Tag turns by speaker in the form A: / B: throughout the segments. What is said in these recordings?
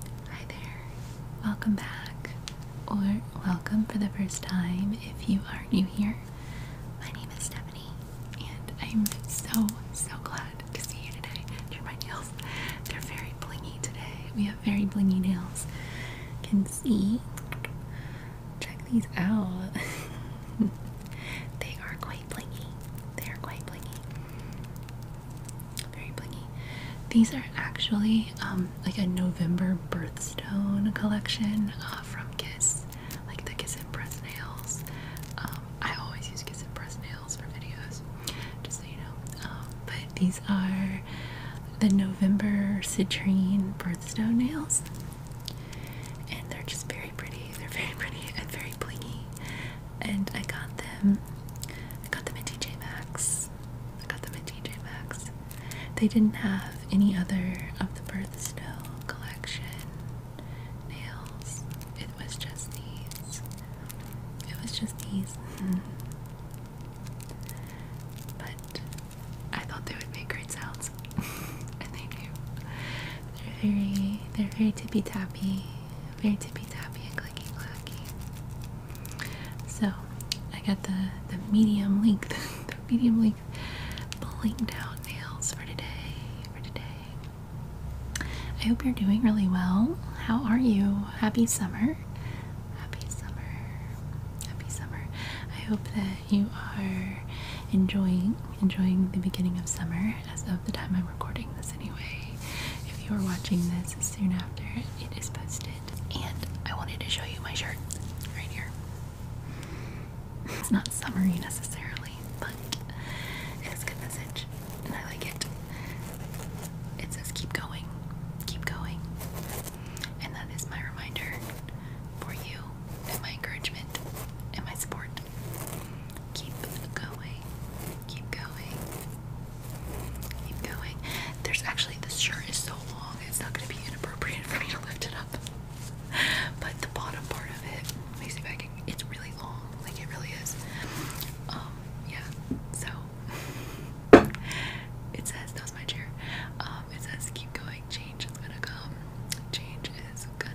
A: Hi there, welcome back, or welcome for the first time if you are new here. My name is Stephanie, and I'm so, so glad to see you today. Here my nails, they're very blingy today. We have very blingy nails. Can see, check these out. they are quite blingy. They are quite blingy very blingy. These are actually um, like a November birthstone collection uh, from Kiss, like the Kiss and Press nails. Um, I always use Kiss and Press nails for videos, just so you know. Um, but these are the November citrine birthstone nails, and they're just very pretty. They're very pretty and very blingy, and I got them I got them at TJ Maxx. I got them at TJ Maxx. They didn't have any other of the birthstone collection nails. It was just these. It was just these. Mm-hmm. But I thought they would make great sounds. and they do. They're very they're very tippy tappy very tippy tappy and clicky clacky. So I got the the medium length, the medium length pulling down nails for today. For today, I hope you're doing really well. How are you? Happy summer. Happy summer. Happy summer. I hope that you are enjoying enjoying the beginning of summer as of the time I'm recording this anyway. If you are watching this soon after it is posted, and I wanted to show you my shirt right here. It's not summery necessarily, but it's good message, and I like it. It says keep going, keep going, and that is my reminder for you and my encouragement and my support. Keep going, keep going, Keep going. There's actually, this shirt is so long, it's not going to be inappropriate for me to lift it up. But the bottom part of it, let me see if I can, it's really long. Like, it really is. Um, yeah. So, it says, that my chair. Um, it says, keep going, change is going to come. Change is going to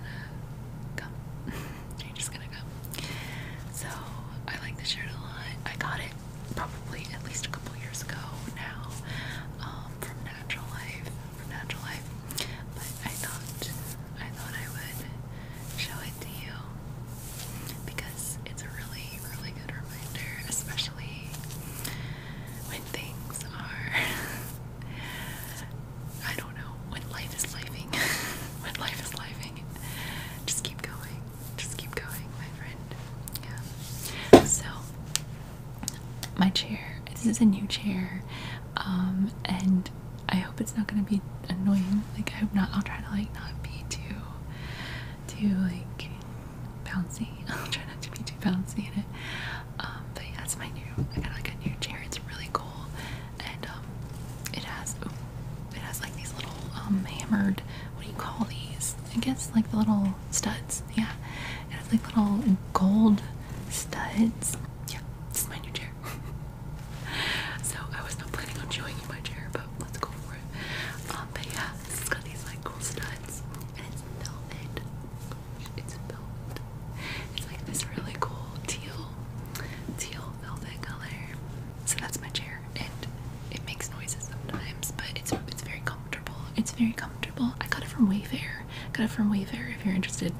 A: come. change is going to come. So, I like this shirt a lot. I got it probably at least a couple years ago now um, from Natural Life, from Natural Life. But I thought I thought I would show it to you because it's a really, really good reminder, especially when things are I don't know when life is living when life is living. just keep going. Just keep going, my friend. Yeah. So, my chair. This is a new chair, um, and I hope it's not gonna be annoying. Like, I hope not. I'll try to like not be too, too like bouncy. I'll try not to be too bouncy in it. Um, but yeah, that's my new. I got like a new chair. It's really cool, and um, it has it has like these little um, hammered what do you call these? I guess like the little studs. Yeah, it has like little gold studs. Yeah, this is my new chair. so I was not planning on showing you my chair, but let's go for it. Um, but yeah, this has got these like cool studs, and it's velvet. It's velvet. It's like this really cool teal, teal velvet color. So that's my chair, and it makes noises sometimes, but it's it's very comfortable. It's very comfortable. I got it from Wayfair. Got it from Wayfair if you're interested.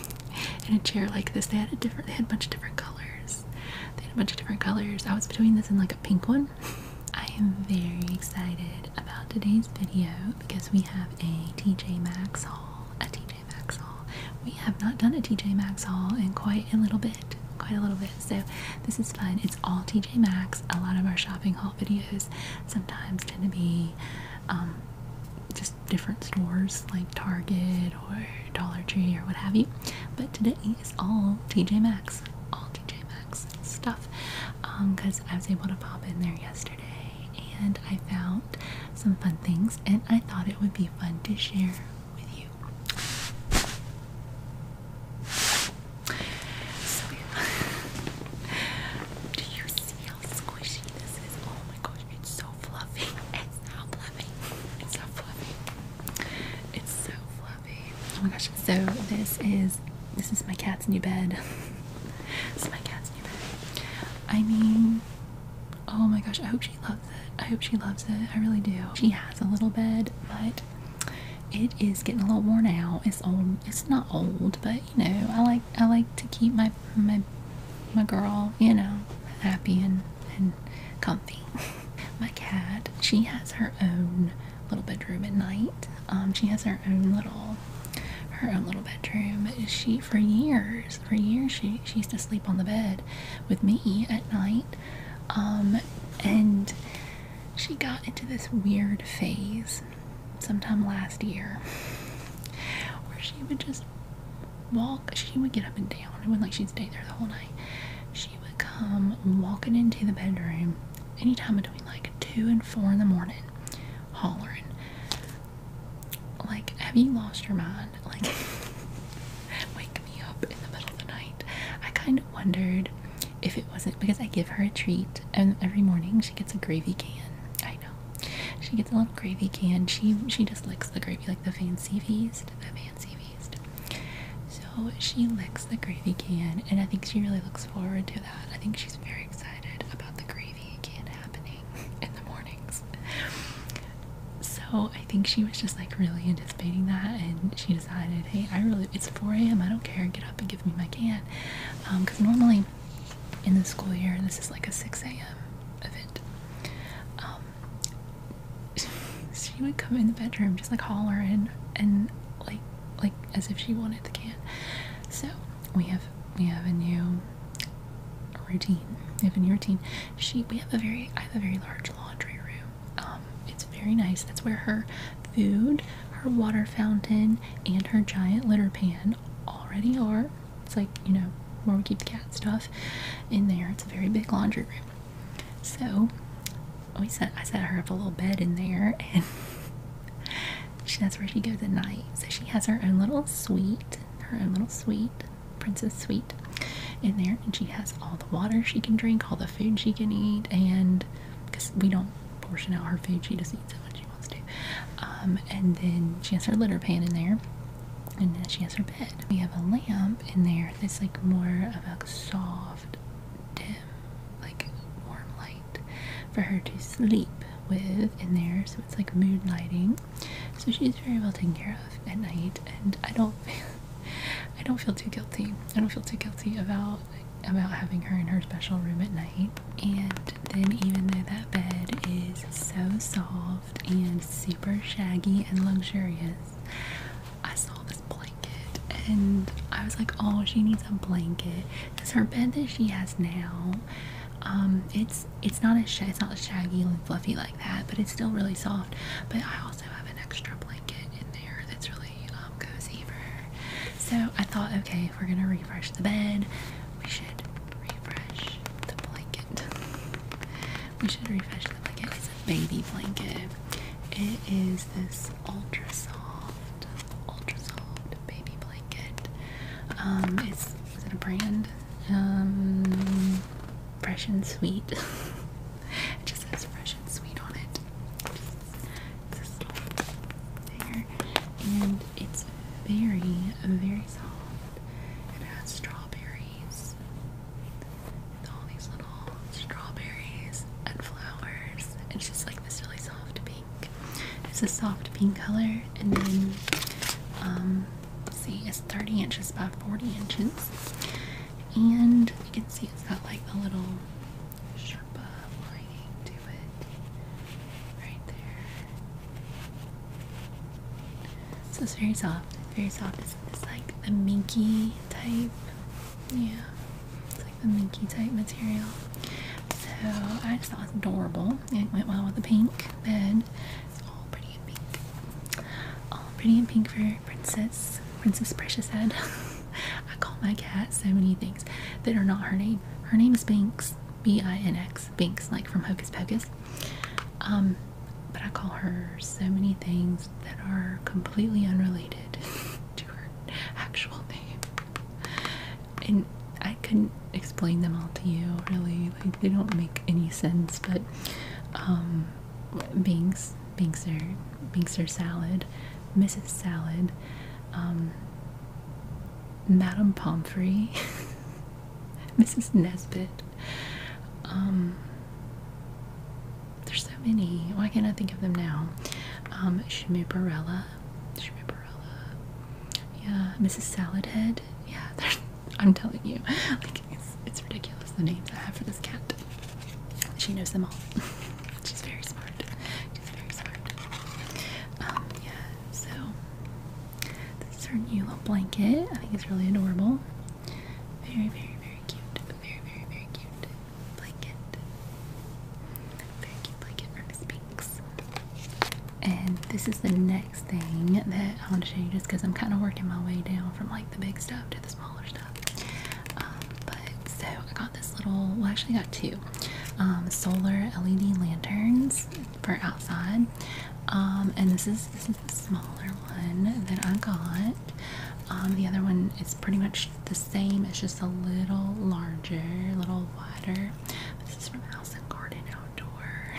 A: in a chair like this, they had a different. They had a bunch of different colors. They had a bunch of different colors. I was between this and like a pink one. I am very excited about today's video because we have a TJ Maxx haul. A TJ Maxx haul. We have not done a TJ Maxx haul in quite a little bit quite a little bit. So this is fun. It's all TJ Maxx. A lot of our shopping haul videos sometimes tend to be um, just different stores like Target or Dollar Tree or what have you. But today is all TJ Maxx, all TJ Maxx stuff because um, I was able to pop in there yesterday and I found some fun things and I thought it would be fun to share with you so, do you see how squishy this is? Oh my gosh, it's so fluffy. It's not fluffy. It's not fluffy. It's so fluffy. Oh my gosh. So this is this is my cat's new bed. this is my cat's new bed. I mean, oh my gosh, I hope she loves. I hope she loves it. I really do. She has a little bed, but it is getting a little worn out. It's old. It's not old, but you know, I like I like to keep my my my girl, you know, happy and and comfy. my cat, she has her own little bedroom at night. Um, she has her own little her own little bedroom. She for years, for years she she used to sleep on the bed with me at night um, and she got into this weird phase sometime last year where she would just walk, she would get up and down. It was like she'd stay there the whole night. She would come walking into the bedroom anytime between like 2 and 4 in the morning, hollering, like, have you lost your mind? like wake me up in the middle of the night. I kind of wondered if it wasn't because I give her a treat and every morning she gets a gravy can. I know. She gets a little gravy can. She she just licks the gravy like the fancy feast. The fancy feast. So she licks the gravy can and I think she really looks forward to that. I think she's very excited about the gravy can happening in the mornings. So I think she was just like really anticipating that, and she decided, hey, I really it's 4 a.m. I don't care. Get up and give me my can, because um, normally in the school year this is like a 6 a.m. event. Um, she would come in the bedroom just like hollering and like like as if she wanted the can. So we have we have a new routine. We have a new routine. She we have a very I have a very large laundry room um, it's very nice. That's where her food, her water fountain, and her giant litter pan already are. It's like, you know, where we keep the cat stuff in there. It's a very big laundry room. So we set I set her up a little bed in there and she, knows where she goes at night. So she has her own little suite, her own little suite Princess Sweet in there, and she has all the water she can drink, all the food she can eat, and because we don't portion out her food, she just eats it when she wants to. Um, and then she has her litter pan in there, and then she has her bed. We have a lamp in there that's like more of a soft, dim, like warm light for her to sleep with in there, so it's like mood lighting. So she's very well taken care of at night, and I don't. I don't feel too guilty. I don't feel too guilty about about having her in her special room at night. And then even though that bed is so soft and super shaggy and luxurious, I saw this blanket and I was like, oh, she needs a blanket. Cause her bed that she has now, um, it's it's not as it's not shaggy and fluffy like that, but it's still really soft. But I also have an extra blanket in there that's really um, cozy for her. So I thought, okay, if we're gonna refresh the bed, we should refresh the blanket. we should refresh the blanket. It's a baby blanket. It is this ultra soft, ultra soft baby blanket. Um, is it a brand? Um, fresh and sweet. It just says fresh and sweet on it. It's this little there. And it's very, very soft. It has strawberries. With all these little strawberries and flowers. It's just like this really soft pink. It's a soft pink color and then um see it's 30 inches by 40 inches and you can see it's got like a little Sherpa lining to it right there. So it's very soft. It's very soft. It's, like a minky type. Yeah. It's like the minky type material. So I just thought it was adorable. It went well with the pink bed. It's all pretty Pink. all Pretty in Pink for Princess, Princess Precious Head. I call my cat so many things that are not her name. Her name is Binks, B-I-N-X, Binks, like from Hocus Pocus. Um, but I call her so many things that are completely unrelated to her actual name, and I couldn't explain them all to you. Really, like they don't make any sense. But um, Binks Binkster, Binkster Salad, Mrs. Salad, um, Madame Pomfrey, Mrs. Nesbit. Um, there's so many. Why can't I think of them now? Um, Shmiparella, Shmiparella. Yeah, Mrs. Saladhead. Yeah, I'm telling you, like it's, it's ridiculous the names I have for this cat she knows them all. She's very smart. She's very smart. Um, yeah, so this is her new little blanket. I think it's really adorable. Very, very, very cute. Very, very, very cute blanket. Very cute blanket from Miss Pinks. And this is the next thing that I want to show you just because I'm kind of working my way down from like the big stuff to the smaller stuff. Um, but so I got this little, well, actually, got two um, solar LED lanterns for outside. Um, and this is this is the smaller one that I got. the other one is pretty much the same. It's just a little larger, a little wider. This is from House and Garden Outdoor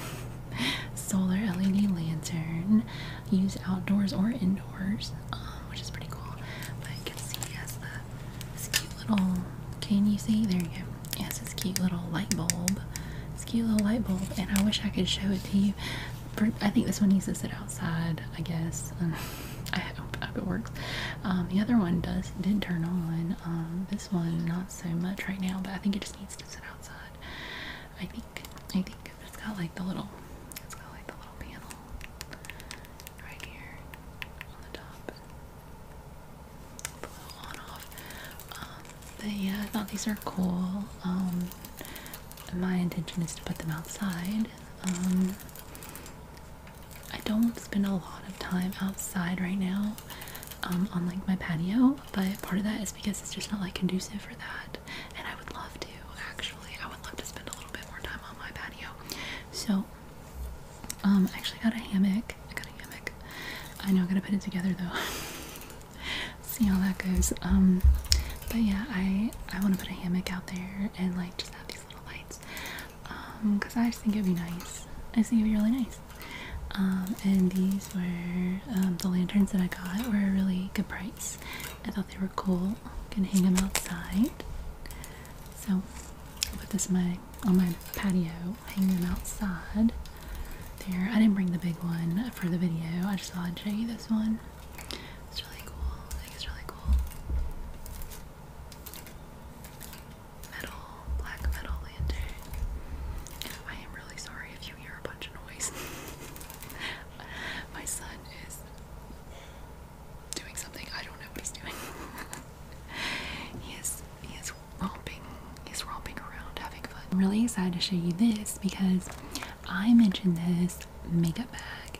A: Solar LED Lantern use outdoors or indoors, um, which is pretty cool. But you can see he has this cute little, can you see? There you go. Yes, has this cute little light bulb. This cute little light bulb, and I wish I could show it to you. I think this one needs to sit outside, I guess. Um, I, hope, I hope it works. Um, the other one does did turn on. Um, this one, not so much right now, but I think it just needs to sit outside. I think, I think it's got like the little, it's got like the little panel right here on the top. The little on off. Um, but yeah, I thought these are cool. Um, my intention is to put them outside. Um, I don't spend a lot of time outside right now on like my patio, but part of that is because it's just not like conducive for that. And I would love to actually, I would love to spend a little bit more time on my patio. So, um, I actually got a hammock. I got a hammock. I know I gotta put it together though. See how that goes. Um, but yeah, I I want to put a hammock out there and like just have these little lights. Um, cause I just think it'd be nice. I just think it'd be really nice. Um, and these were um, the lanterns that I got were a really good price. I thought they were cool. Gonna hang them outside. So I put this on my patio, hang them outside. There, I didn't bring the big one for the video. I just thought I'd show you this one. It's really cool. I think it's really cool. Metal, black metal lantern. I am really sorry if if hear a bunch of noise. My son is doing something. I don't know what he's doing. he is he is romping. He's romping around having fun. I'm really excited to show you this because I mentioned this makeup bag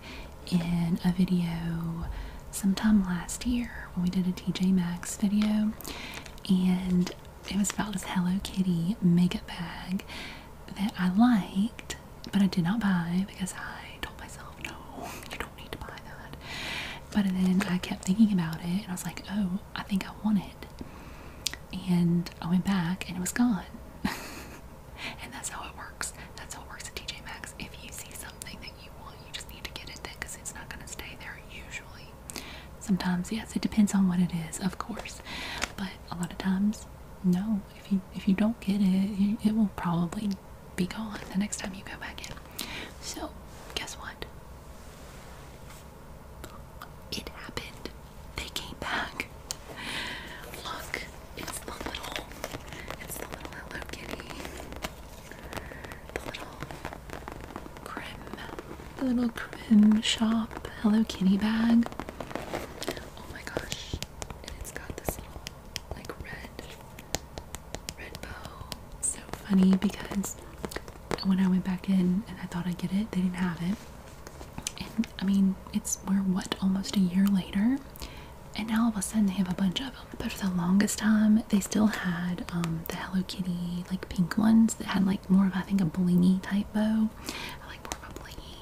A: in a video sometime last year when we did a TJ Maxx video and it was about this Hello Kitty makeup bag that I liked, but I did not buy because I told myself, no, you don't need to buy that. But then I kept thinking about it and I was like, oh, I think I want it. And I went back and it was gone. and that's how it works. That's how it works at TJ Maxx. If you see something that you want, you just need to get it there because it's not going to stay there usually. Sometimes, yes, it depends on what it is, of course. But a lot of times, no, if you if you don't get it, it will probably be gone the next time you go back in. So guess what? It happened. They came back. Look, it's the little, it's the Hello Kitty, the little the little Crim shop Hello Kitty bag. Oh my gosh. And it's got this little like red red bow. So funny because when I went back in and I thought I'd get it, they didn't have it. And I mean, it's we're what almost a year later, and now all of a sudden they have a bunch of them. But for the longest time, they still had um, the Hello Kitty like pink ones that had like more of I think a blingy type bow like more of a blingy,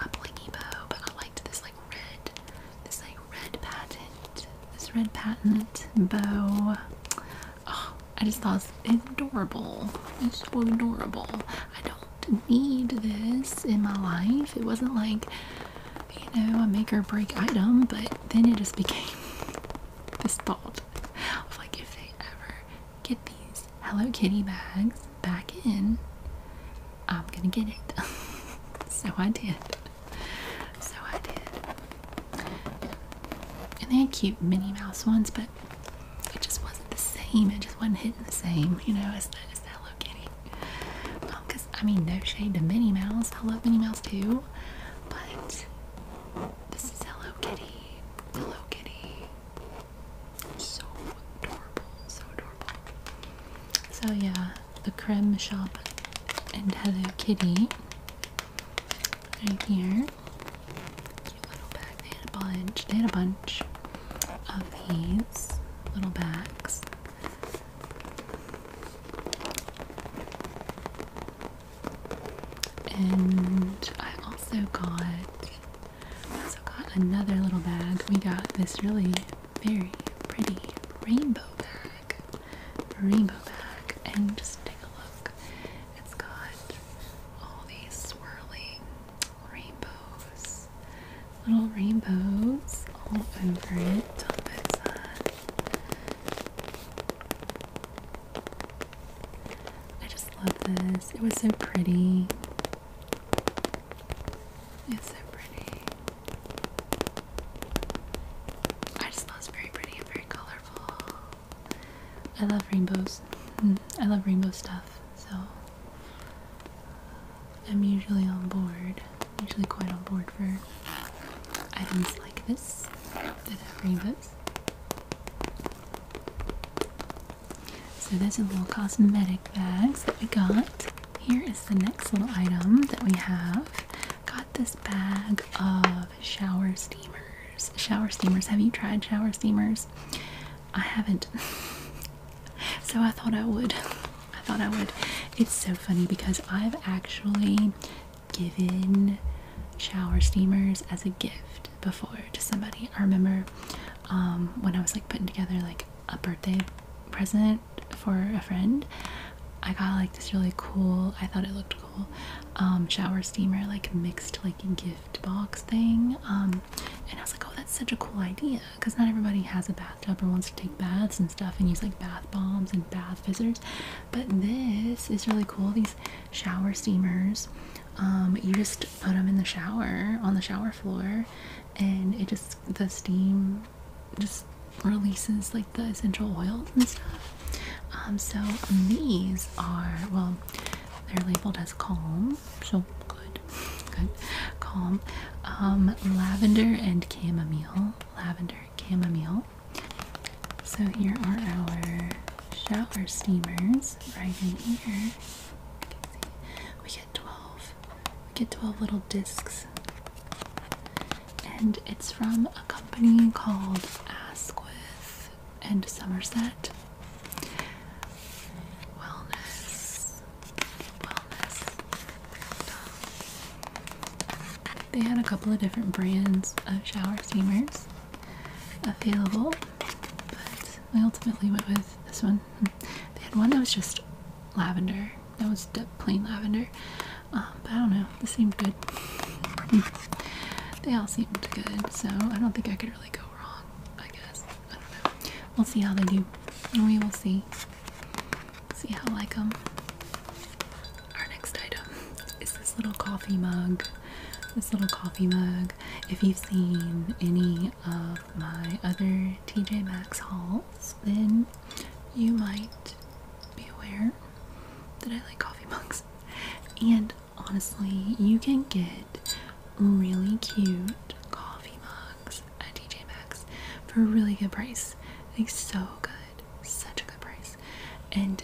A: a blingy bow, but I liked this like red, this like red patent, this red patent bow. Oh, I just thought it's adorable. It's so adorable. I don't need this in my life. It wasn't like, you know, a make or break item, but then it just became this thought of like if they ever get these Hello Kitty bags back in, I'm gonna get it. so I did. So I did. And they had cute Minnie Mouse ones, but it just wasn't the same. It just wasn't hitting the same, you know, as the, as Hello Kitty. Because, um, I mean, no shade to Minnie Mouse. I love Minnie Mouse too. But this is Hello Kitty. Hello Kitty. So adorable, so adorable. So yeah, the creme shop and Hello Kitty right here. Cute little bag. They had a bunch. They had a bunch of these little bags. And I also got we also got another little bag. We got this really very pretty rainbow bag. Rainbow bag. And just take a look. It's got all these swirling rainbows. Little rainbows all over it I just love this. It was so pretty. It's so pretty. I just love it's very pretty and very colorful. I love rainbows. Mm, I love rainbow stuff, so I'm usually on board. Usually quite on board for items like this that have rainbows. So those a little cosmetic bag that we got. Here is the next little item that we have. Got this bag of shower steamers. Shower steamers. Have you tried shower steamers? I haven't. so I thought I would. I thought I would. It's so funny because I've actually given shower steamers as a gift before to somebody. I remember um, when I was like putting together like a birthday present for a friend, I got like this really cool, I thought it looked cool, um, shower steamer, like mixed like gift box thing. Um, and I was like, oh, that's such a cool idea because not everybody has a bathtub or wants to take baths and stuff and use like bath bombs and bath fizzers. But this is really cool. These shower steamers, you just put them in the shower on the shower floor and it just the steam just releases like the essential oils and stuff um, so um, these are well they're labeled as calm so good good calm um, lavender and chamomile lavender chamomile so here are our shower steamers right in here we get 12. We get 12 little discs. And it's from a company called Asquith and Somerset. Wellness. They had a couple of different brands of shower steamers available, but I ultimately went with this one. They had one that was just lavender. That was plain lavender. Um, but I don't know. This seemed good. they all seemed good, so I don't think I could really go wrong. I guess I don't know. We'll see how they do. We will see. See how I like them. Um, our next item is this little coffee mug. This little coffee mug. If you've seen any of my other TJ Maxx hauls, then you might be aware that I like coffee mugs. And honestly, you can get really cute coffee mugs at TJ Maxx for a really good price. Like so good, such a good price. And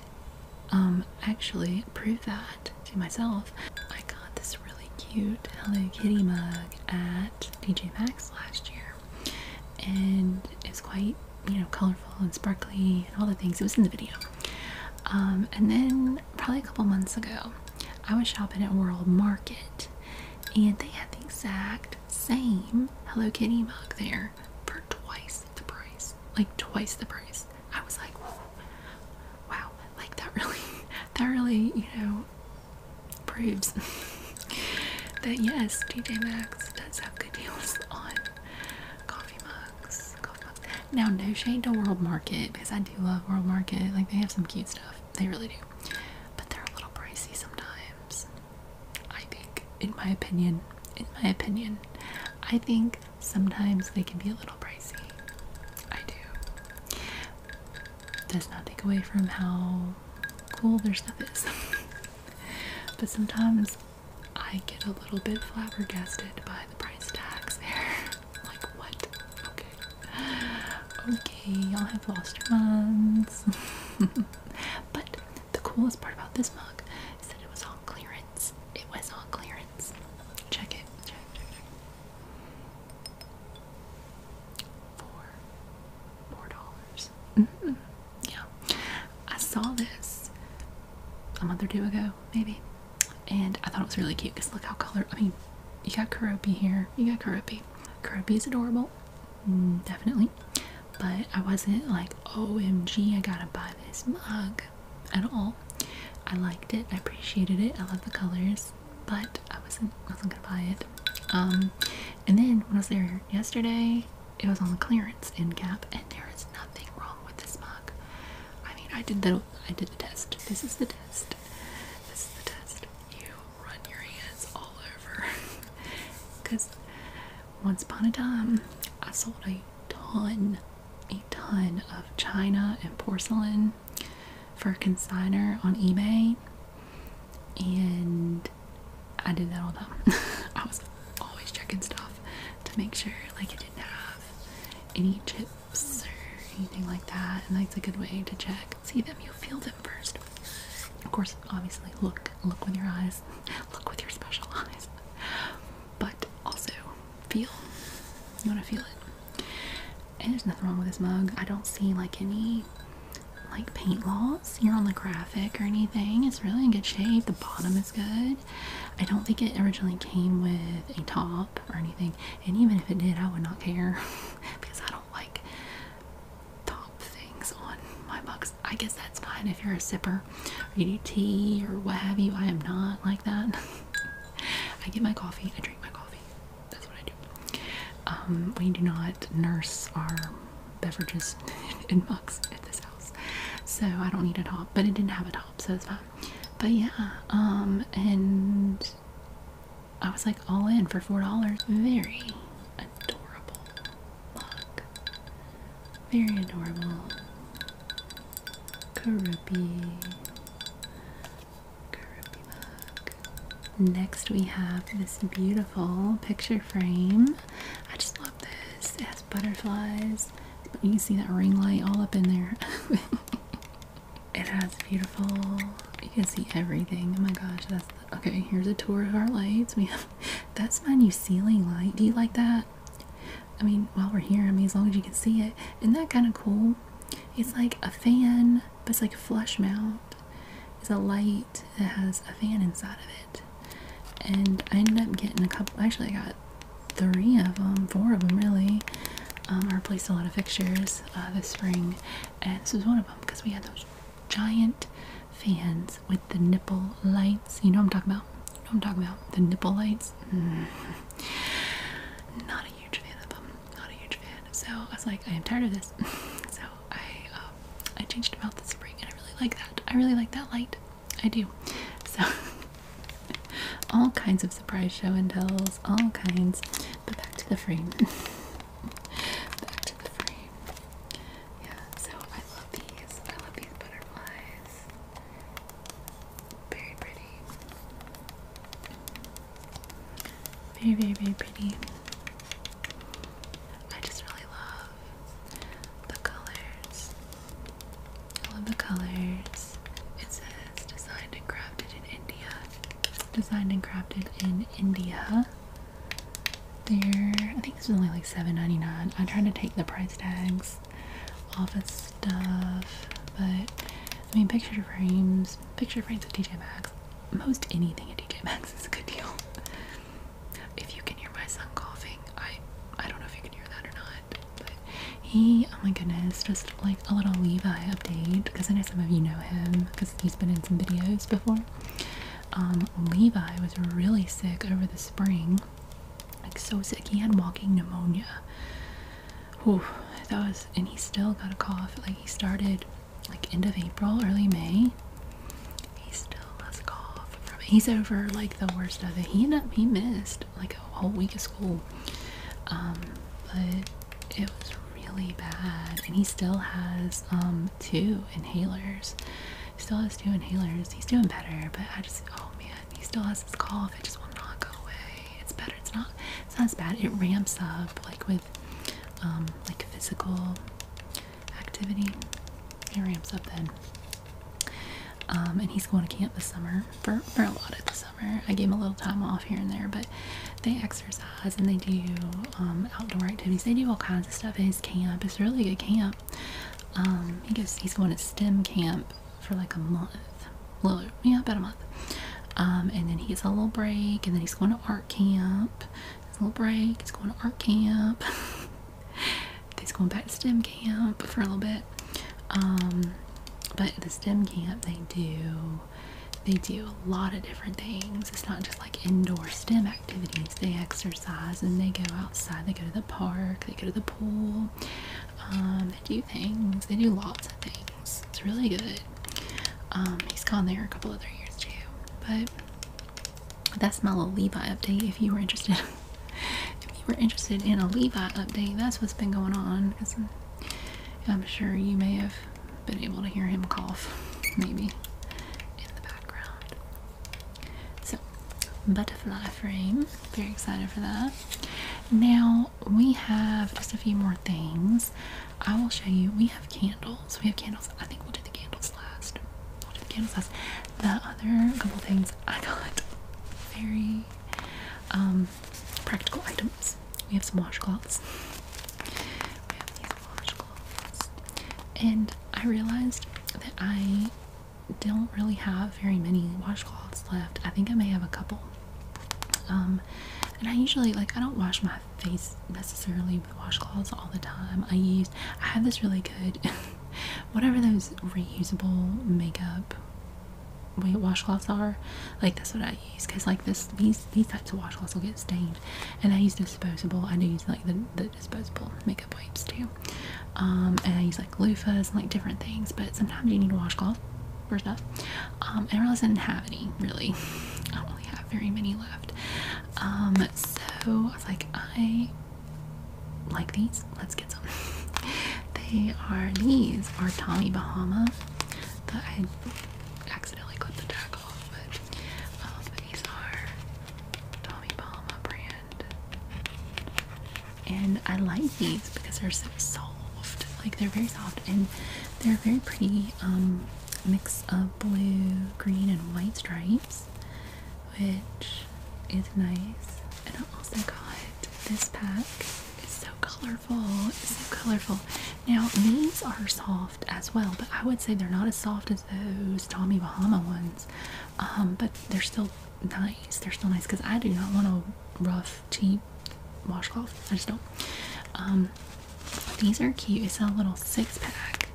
A: um actually prove that to myself, I got this really cute Hello Kitty mug at TJ Maxx last year, and it's quite you know colorful and sparkly and all the things. It was in the video. Um, and then probably a couple months ago, I was shopping at World Market, and they had the exact same Hello Kitty mug there for twice the price, like twice the price. I was like, wow, like that really, that really, you know, proves that yes, TJ Maxx does have good deals on coffee mugs, coffee mugs. Now, no shame to World Market because I do love World Market. Like they have some cute stuff, they really do, but they're a little pricey sometimes. I think, in my opinion, in my opinion, I think sometimes they can be a little pricey. I do does not take away from how cool their stuff is. but sometimes I get a little bit flabbergasted by the price tags there. like, what? Okay. Okay, y'all have lost your minds. but the coolest part about this mug is that it was on clearance. It was on clearance. Check it for four dollars. Yeah, I saw this a month or two ago, maybe, and I thought it was really cute because look how color. I mean, you got Karopi here. You got Karopi. Karopi is adorable, mm, definitely. But I wasn't like, OMG, I gotta buy this mug at all. I liked it. I appreciated it. I love the colors, but I wasn't wasn't gonna buy it. Um, and then when I was there yesterday, it was on the clearance end cap, and there is nothing wrong with this mug. I mean, I did the I did the test. This is the test. This is the test. You run your hands all over, because once upon a time I sold a ton, a ton of china and porcelain for consigner on eBay, and I did that all the time. I was always checking stuff to make sure like it didn't have any chips or anything like that, and that's a good way to check. See them, you feel them first. Of course, obviously, look, look with your eyes, look with your special eyes, but also feel you want to feel it and there's nothing wrong with this mug i don't see like any like paint loss here on the graphic or anything it's really in good shape the bottom is good i don't think it originally came with a top or anything and even if it did i would not care because i don't like top things on my mugs i guess that's fine if you're a sipper or you do tea or what have you i am not like that I get my coffee, I drink my coffee. That's what I do. Um, we do not nurse our beverages in mugs at this house, so I don't need a top. But it didn't have a top, so it's fine. But yeah, um, and I was like all in for four dollars. Very adorable mug. Very adorable. Karupi. Next, we have this beautiful picture frame. I just love this. It has butterflies. You can see that ring light all up in there. it has beautiful, you can see everything. Oh my gosh, that's okay. Here's a tour of our lights. We have that's my new ceiling light. Do you like that? I mean, while we're here, I mean, as long as you can see it, isn't that kind of cool? It's like a fan, but it's like a flush mount. It's a light that has a fan inside of it. And I ended up getting a couple, actually, I got three of them, four of them really. Um, I replaced a lot of fixtures uh, this spring, and this was one of them because we had those giant fans with the nipple lights. You know what I'm talking about? what I'm talking about? The nipple lights. Mm. Not huge fan of them. Not a huge fan. So I was like, I am tired of this. so I um, I changed them out this spring, and I really like that. I really like that light. I do. So all kinds of surprise show and tells. All kinds. But back to the frame. back to the frame. Yeah. So I love these. I love these butterflies. Very pretty. Very, very, very pretty. I just really love the colors. I love the colors. It says designed and crafted in India. Designed and crafted in India. They're, I think this is only like seven dollars 99 I tried to take the price tags off as stuff, but I mean, picture frames, picture frames at TJ Maxx, most anything at TJ Maxx is a good deal. if you can hear my son coughing, I I don't know if you can hear that or not, he, oh my goodness, just like a little Levi update because I know some of you know him because he's been in some videos before. Um, Levi was really sick over the spring, like so sick. He had walking pneumonia. Whew, that was, and he still got a cough. Like he started, like end of April, early May. He still has a cough. He's over like the worst of it. He ended up, he missed like a whole week of school. Um, but it was really bad, and he still has um two inhalers. still has two inhalers. He's doing better, but I just, oh man, he still has this cough. It just will not go away. It's better. It's not. It's not as bad. It ramps up like with um, like physical activity. It ramps up then. Um, and he's going to camp this summer for, for a lot of the summer. I gave him a little time off here and there, but they exercise and they do um, outdoor activities. They do all kinds of stuff at his camp. It's a really good camp. Um, he goes. He's going to STEM camp for like a month. Little, yeah, about a month. Um, and then he gets a little break, and then he's going to art camp. It's a little break. He's going to art camp. he's going back to STEM camp for a little bit. Um, but the STEM camp, they do they do a lot of different things. It's not just like indoor STEM activities. They exercise and they go outside. They go to the park. They go to the pool. Um, they do things. They do lots of things. It's really good. Um, he's gone there a couple other years too. But that's my little Levi update. If you were interested, if you were interested in a Levi update, that's what's been going on. I'm sure you may have been able to hear him cough, maybe in the background. So, butterfly frame. Very excited for that. Now, we have just a few more things. I will show you. We have candles. We have candles. I think we'll do the candles last. We'll do the candles last. The other couple things I got very um, practical items. We have some washcloths. We have these washcloths. And I realized that I don't really have very many washcloths left. I think I may have a couple. Um, and I usually like I don't wash my face necessarily with washcloths all the time. I use I have this really good whatever those reusable makeup weight washcloths are. Like that's what I use because like this these these types of washcloths will get stained, and I use disposable. I do use like the, disposable makeup wipes too, um, and I use like loofahs and like different things. But sometimes you need a washcloth First up, Um, and I realized I didn't have any really. I do really have very many left. Um, so I was like, I like these. Let's get some. they are these are Tommy Bahama. The, I accidentally clipped the tag off, but um, these are Tommy Bahama brand and I like these because they're so soft like they're very soft and they're a very pretty um, mix of blue green and white stripes which is nice and I also got this pack it's so colorful so colorful now these are soft as well but I would say they're not as soft as those Tommy Bahama ones um, but they're still nice they're still nice because I do not want to rough cheap washcloth. I just don't. Um, these are cute. It's a little six pack.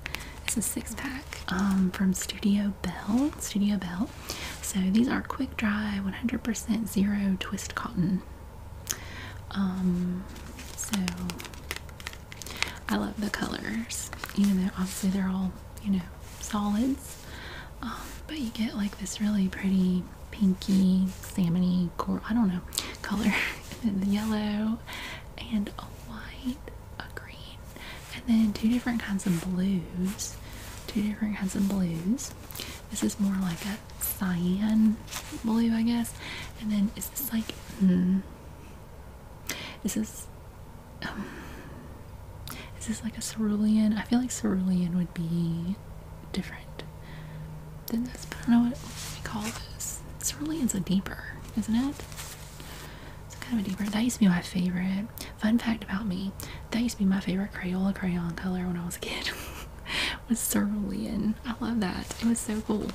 A: It's a six pack um, from Studio Bell. Studio Bell. So these are quick dry, 100% zero twist cotton. Um, so I love the colors, even though obviously they're all you know solids. Um, but you get like this really pretty pinky, salmony, coral, I don't know, color. yellow and a white, a green, and then two different kinds of blues. Two different kinds of blues. This is more like a cyan blue, I guess. And then is this like, hmm, is this, um, is this like a cerulean? I feel like cerulean would be different than this, but I don't know what, we call this. This really is a deeper, isn't it? It's kind of a deeper. That used to be my favorite. Fun fact about me, that used to be my favorite Crayola crayon color when I was a kid. was cerulean. I love that. It was so cool.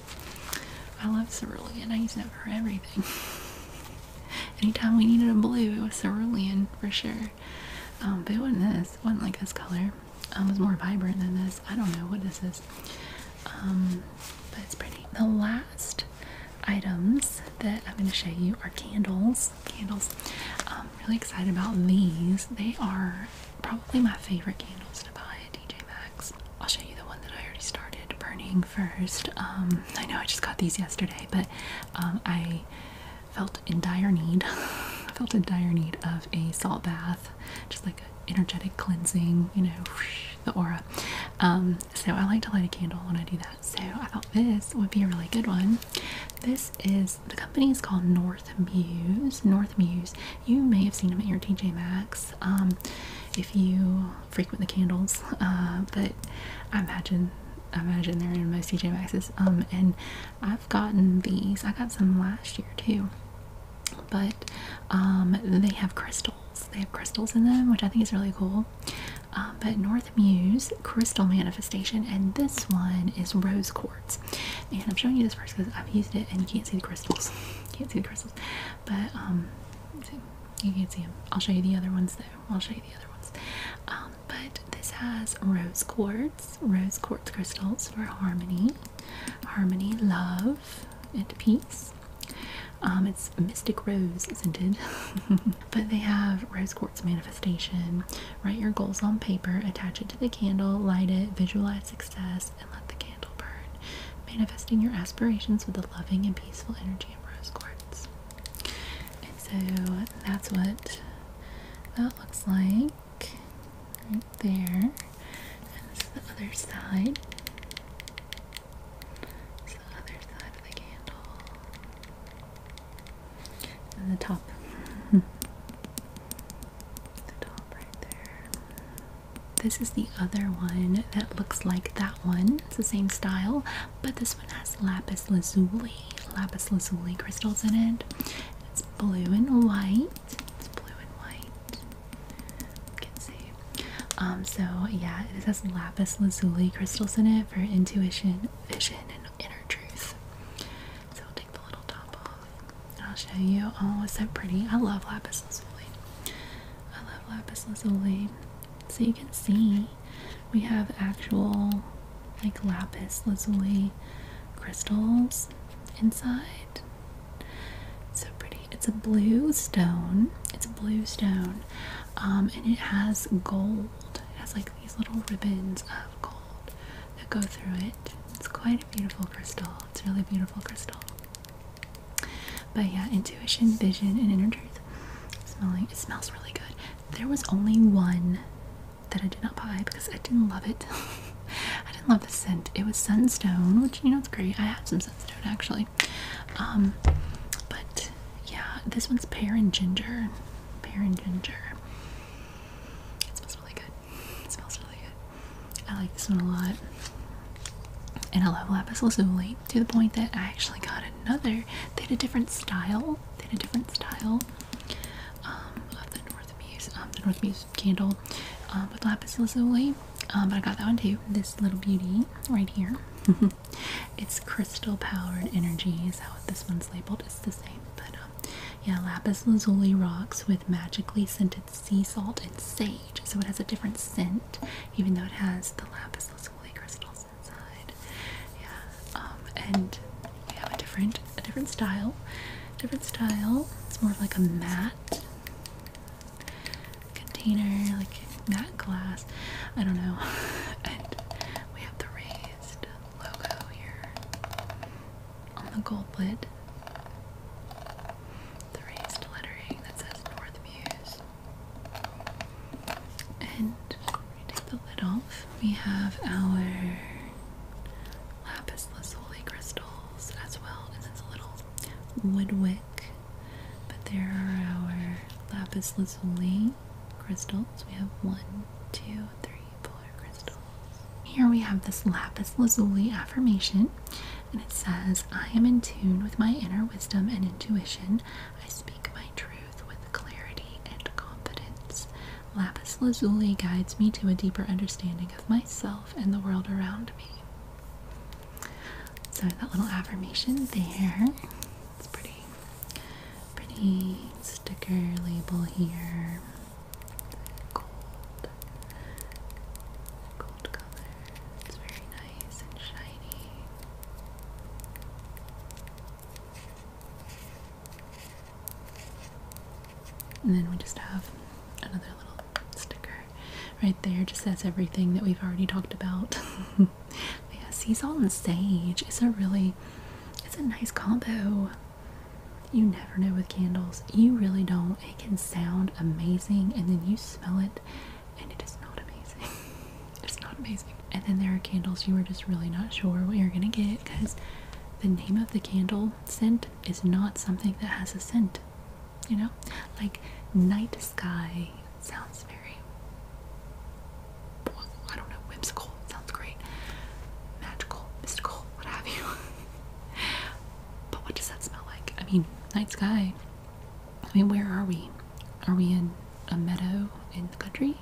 A: I love cerulean. I used it for everything. Anytime we needed a blue, it was cerulean for sure. Um, but it wasn't this. It wasn't like this color. Um, it was more vibrant than this. I don't know what this is. Um, but it's pretty. The last items that I'm going to show you are candles. Candles. I'm um, really excited about these. They are probably my favorite candles to buy at DJ Max. I'll show you the one that I already started burning first. I know I just got these yesterday, but I felt in dire need felt in dire need of a salt bath just like an energetic cleansing you know the aura um, so i like to light a candle when i do that so i thought this would be a really good one this is the company is called north muse north muse you may have seen them at your tj maxx um, if you frequent the candles uh, but i imagine imagine they're in most TJ Maxx's. Um, and I've gotten these. I got some last year too. But um, they have crystals. They have crystals in them, which I think is really cool. Um, but North Muse Crystal Manifestation, and this one is Rose Quartz. And I'm showing you this first because I've used it, and you can't see the crystals. can't see the crystals, but um, you can't see them. I'll show you the other ones though. I'll show you the other ones but this has rose quartz, rose quartz crystals for harmony, harmony, love, and peace. Um, it's mystic rose scented, but they have rose quartz manifestation. Write your goals on paper, attach it to the candle, light it, visualize success, and let the candle burn. Manifesting your aspirations with the loving and peaceful energy of rose quartz. And so that's what that looks like right there. And this is the other side. It's the other side of the candle. And the top. the top right there. This is the other one that looks like that one. It's the same style, but this one has lapis lazuli, lapis lazuli crystals in it blue and white. It's blue and white. can see. Um, so yeah, it has lapis lazuli crystals in it for intuition, vision, and inner truth. So I'll take the little top off. And I'll show you. Oh, it's so pretty. I love lapis lazuli. I love lapis lazuli. So you can see we have actual like lapis lazuli crystals inside. It's so pretty. It's a blue stone. It's a blue stone, um, and it has gold. It has like these little ribbons of gold that go through it. It's quite a beautiful crystal. It's really beautiful crystal. But yeah, intuition, vision, and inner truth. Smelling. It smells really good. There was only one that I did not buy because I didn't love it. I didn't love the scent. It was Sunstone, which you know it's great. I have some Sunstone actually. Um, but yeah, this one's pear and ginger. Pear and ginger. It smells really good. It smells really good. I like this one a lot. And I love lapis lazuli to the point that I actually got another. They had a different style. They had a different style um, North Muse, um, the North Muse candle uh, with lapis lazuli. Um, but I got that one too. This little beauty right here. it's crystal powered energy is how this one's labeled. It's the same, but um, yeah, lapis lazuli rocks with magically scented sea salt and sage. So it has a different scent, even though it has the lapis lazuli crystals inside. Yeah, and we have a different a different style. Different style. It's more of like a matte container, like matte glass. I don't know. and we have the raised logo here on the gold lid. The raised lettering that says North Muse. And we take the lid off. We have our lapis lazuli crystals as well, and it's a little wood But there are our lapis lazuli crystals. We have one, two, three, crystals. Here we have this lapis lazuli affirmation, and it says, I am in tune with my inner wisdom and intuition. I speak my truth with clarity and confidence. Lapis lazuli guides me to a deeper understanding of myself and the world around me. So that little affirmation there. It's pretty pretty sticker label here. Gold. Gold color. It's very nice and shiny. And then we just have another little sticker right there. Just says everything that we've already talked about. Yes, he's all insane. It's a really, it's a nice combo. You never know with candles. You really don't. It can sound amazing, and then you smell it, and it is not amazing. it's not amazing. And then there are candles you are just really not sure what you're gonna get because the name of the candle scent is not something that has a scent. You know? Like night sky sounds very I don't know, whimsical, sounds great. Magical, mystical, what have you. but what does that smell like? I mean, night sky. I mean, where are we? Are we in a meadow in the country?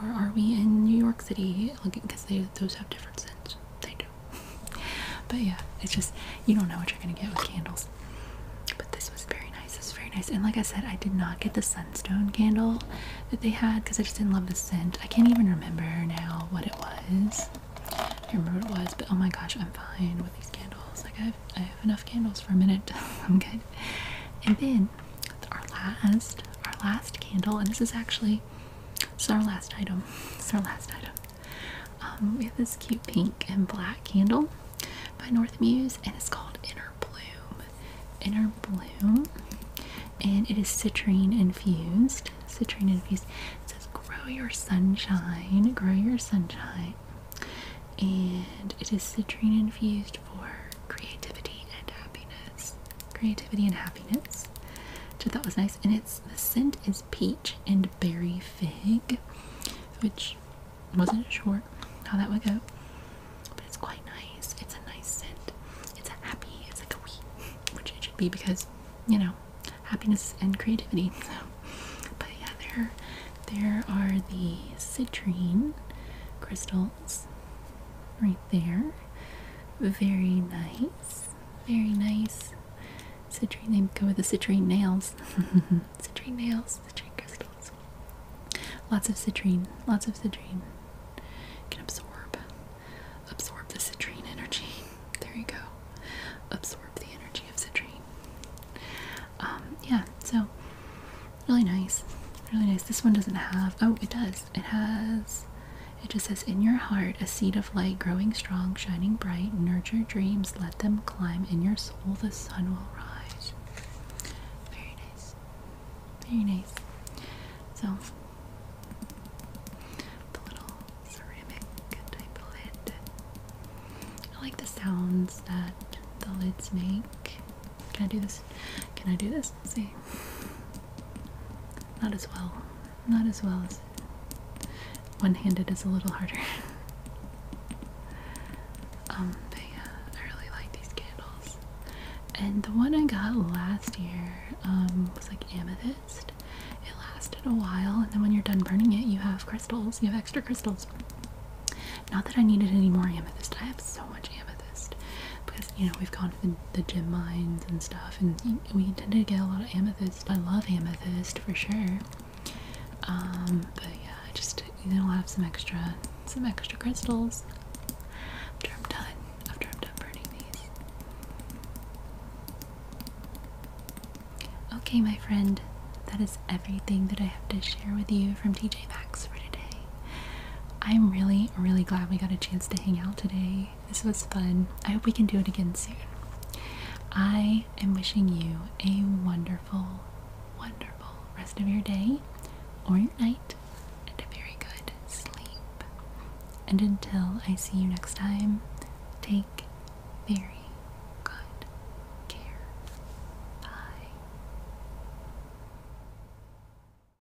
A: or are we in New York City? Because those have different scents. They do. but yeah, it's just you don't know what you're gonna get with candles. But this was very nice. This was very nice. And like I said, I did not get the sunstone candle that they had because I just didn't love the scent. I can't even remember now what it was. I remember what it was, but oh my gosh, I'm fine with these candles. Like I have, I have enough candles for a minute. I'm good. And then our last, our last candle, and this is actually it's our last item. It's our last item. Um, we have this cute pink and black candle by North Muse, and it's called Inner Bloom. Inner Bloom, and it is citrine infused. Citrine infused. It says, "Grow your sunshine, grow your sunshine," and it is citrine infused for creativity and happiness creativity and happiness. So that was nice. And it's the scent is peach and berry fig, which wasn't sure how that would go, but it's quite nice. It's a nice scent. It's a happy. It's like a wee, which it should be because you know happiness and creativity. So, but yeah, there there are the citrine crystal pearls right there. Very nice. Very nice. Citrine, they go with the citrine nails. citrine nails, citrine crystals. Lots of citrine, lots of citrine. can absorb, absorb the citrine energy. There you go. Absorb the energy of citrine. Um, yeah, so really nice. Really nice. This one doesn't have, oh, it does. It has, it just says, in your heart, a seed of light growing strong, shining bright. Nurture dreams, let them climb. In your soul, the sun will rise. Very nice. Very nice. So, the little ceramic type of lid. I like the sounds that the lids make. Can I do this? Can I do this? Let's see. Not as well. Not as well as one handed is a little harder. Um, but yeah, I really like these candles. And the one I got last year um, was like amethyst. It lasted a while, and then when you're done burning it, you have crystals. You have extra crystals. Not that I needed any more amethyst. I have so much amethyst because you know we've gone the, gem mines and stuff, and we tend to get a lot of amethyst. I love amethyst for sure. Um, but yeah, I just i will have some extra, some extra crystals after I'm done. After I'm done burning these. Okay, my friend, that is everything that I have to share with you from TJ Maxx for today. I'm really, really glad we got a chance to hang out today. This was fun. I hope we can do it again soon. I am wishing you a wonderful, wonderful rest of your day or your night and a very good sleep. And until I see you next time, take very good care. Bye.